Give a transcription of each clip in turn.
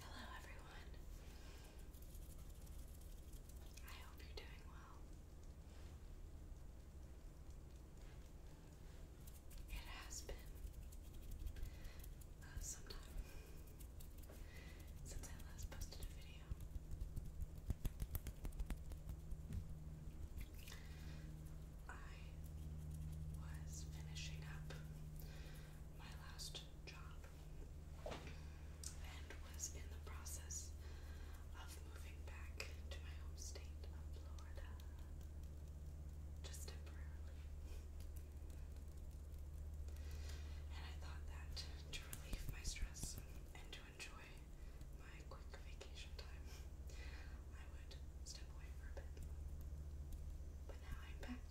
Hello, everyone. I hope you're doing well. It has been uh, some time since I last posted a video. I was finishing up my last job and was in the process of moving back to my home state of Florida just temporarily. And I thought that to relieve my stress enjoy my quick vacation time, I would step away for a bit. But now I'm back.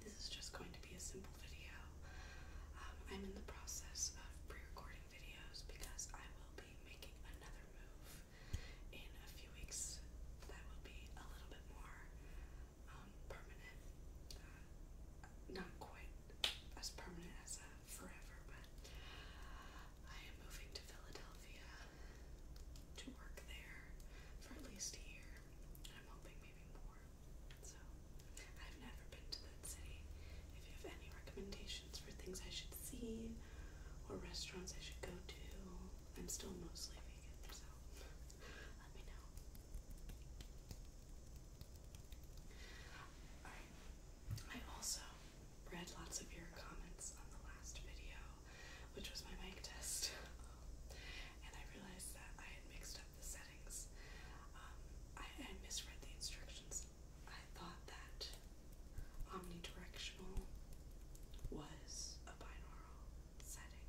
This is just going to be a simple video. Um, I'm in the process of pre recording videos because I will be making another move in a few weeks that will be a little bit more. Um, um, permanent. Uh, not quite as permanent as a uh, forever, but I am moving to Philadelphia to work there for at least a year. I'm hoping maybe more. So I've never been to that city. If you have any recommendations for things I should see or restaurants I should go to, I'm still mostly vegan, so let me know. I also read lots of your comments on the last video, which was my mic test. and I realized that I had mixed up the settings. Um, I misread the instructions. I thought that omnidirectional was a binaural setting.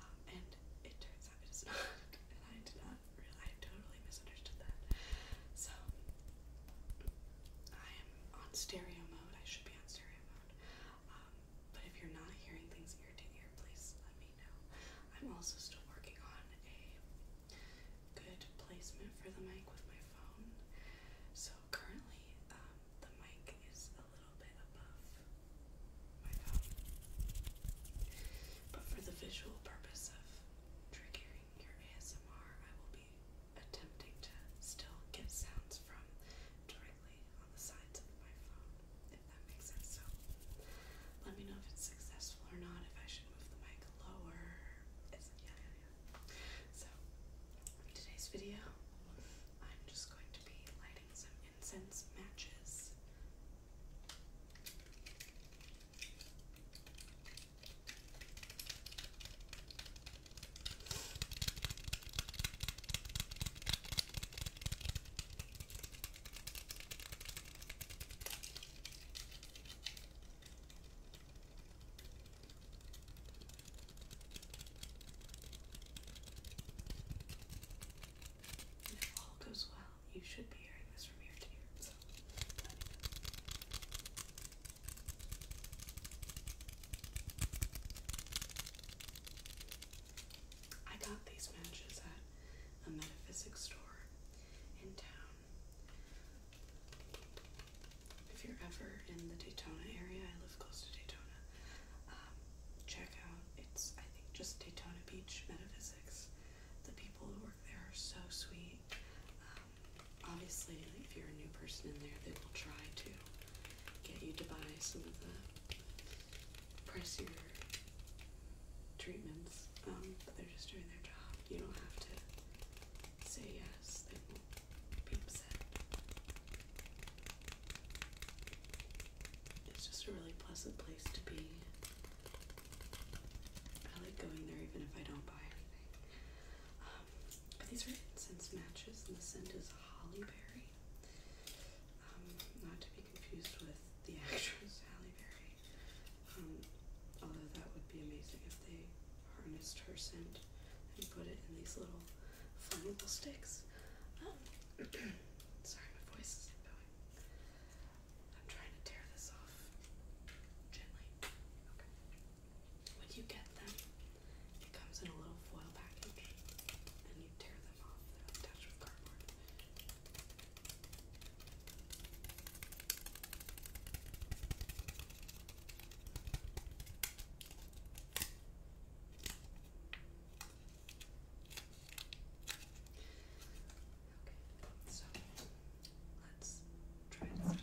Um, and it turns out it is not. And I did not realize, I totally misunderstood that. So, I am on stereo mode. I should be on stereo mode. Um, but if you're not hearing things ear to ear, please let me know. I'm also still working on a good placement for the mic with my phone. So currently, the mic is but for the visual purpose of triggering your ASMR, I will be attempting to still get sounds from directly on the sides of my phone, if that makes sense. So let me know if it's successful or not, if I should move the mic lower. yeah, yeah, yeah. So, today's video, I'm just going to be lighting some incense matches if all goes well, you should be hearing this from here to here. I got these matches at a metaphysics store in town. If you're ever in the Daytona area, I live close to Daytona um, check out. It's I think just Daytona Beach Metaphysics. The people who work there are so sweet. Um, obviously, if you're a new person in there, they will try to get you to buy some of the pricier treatments. Um, but they're just doing their job. You don't have to say yes. They won't be upset. It's just a really pleasant place to be. I like going there even if I don't buy anything. but um, these are incense matches, and the scent is Holly Berry. Um, not to be confused with the actress Halle Berry. Um, although that would be amazing if they harnessed her scent and put it in these little flammable sticks. Um, sorry, my voice isn't going. I'm trying to tear this off gently. Okay. When you get them, it comes in a little foil package, and you tear them off. attached with cardboard. Okay, so let's try this out. Okay.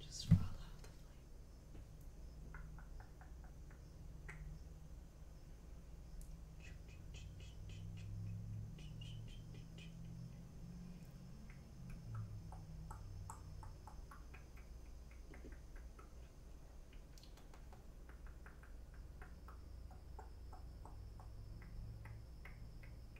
Just roll out the flame.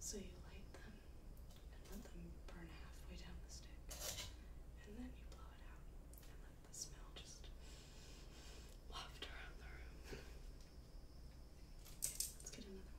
So you light them and let them burn halfway down the stick, and then you blow it out and let the smell just waft around the room. let's get another one.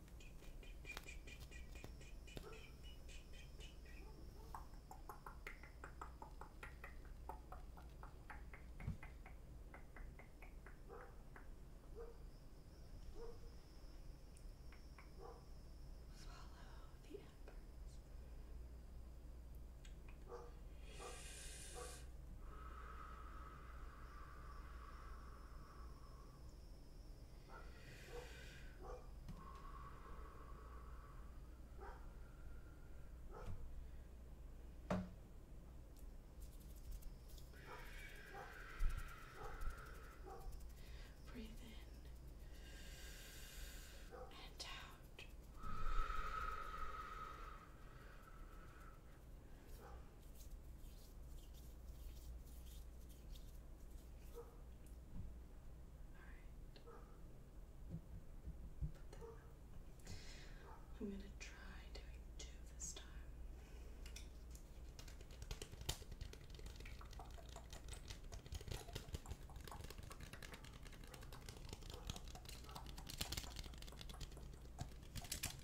Follow the embers. Breathe in and out. I'm going to try doing two this time. Okay.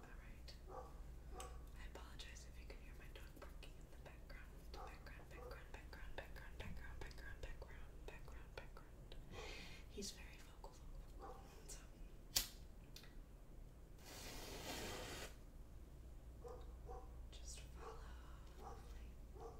I apologize if you can hear my dog barking in the background. Background, background, background, background, background, background, background, background, background. He's very vocal. So. Just follow. Lovely.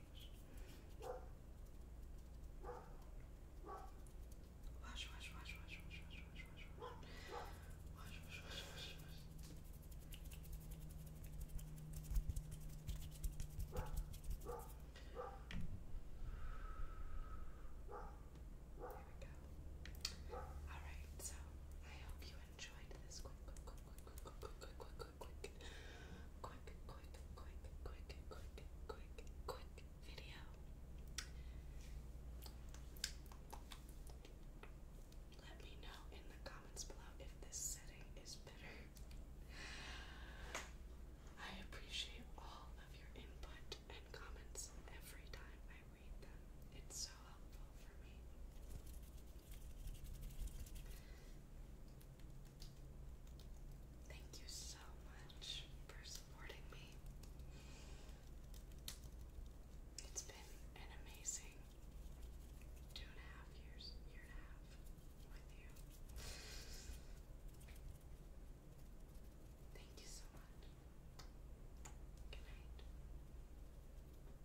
Wash, Alright, so I hope you enjoyed this quick, quick, quick, quick, quick, quick, quick, quick video. Let me know in the comments below if this setting is better. I appreciate all of your input and comments every time I read them. It's so helpful. Thank you so much for supporting me. It's been an amazing two and a half years, year and a half with you. Thank you so much. Good night.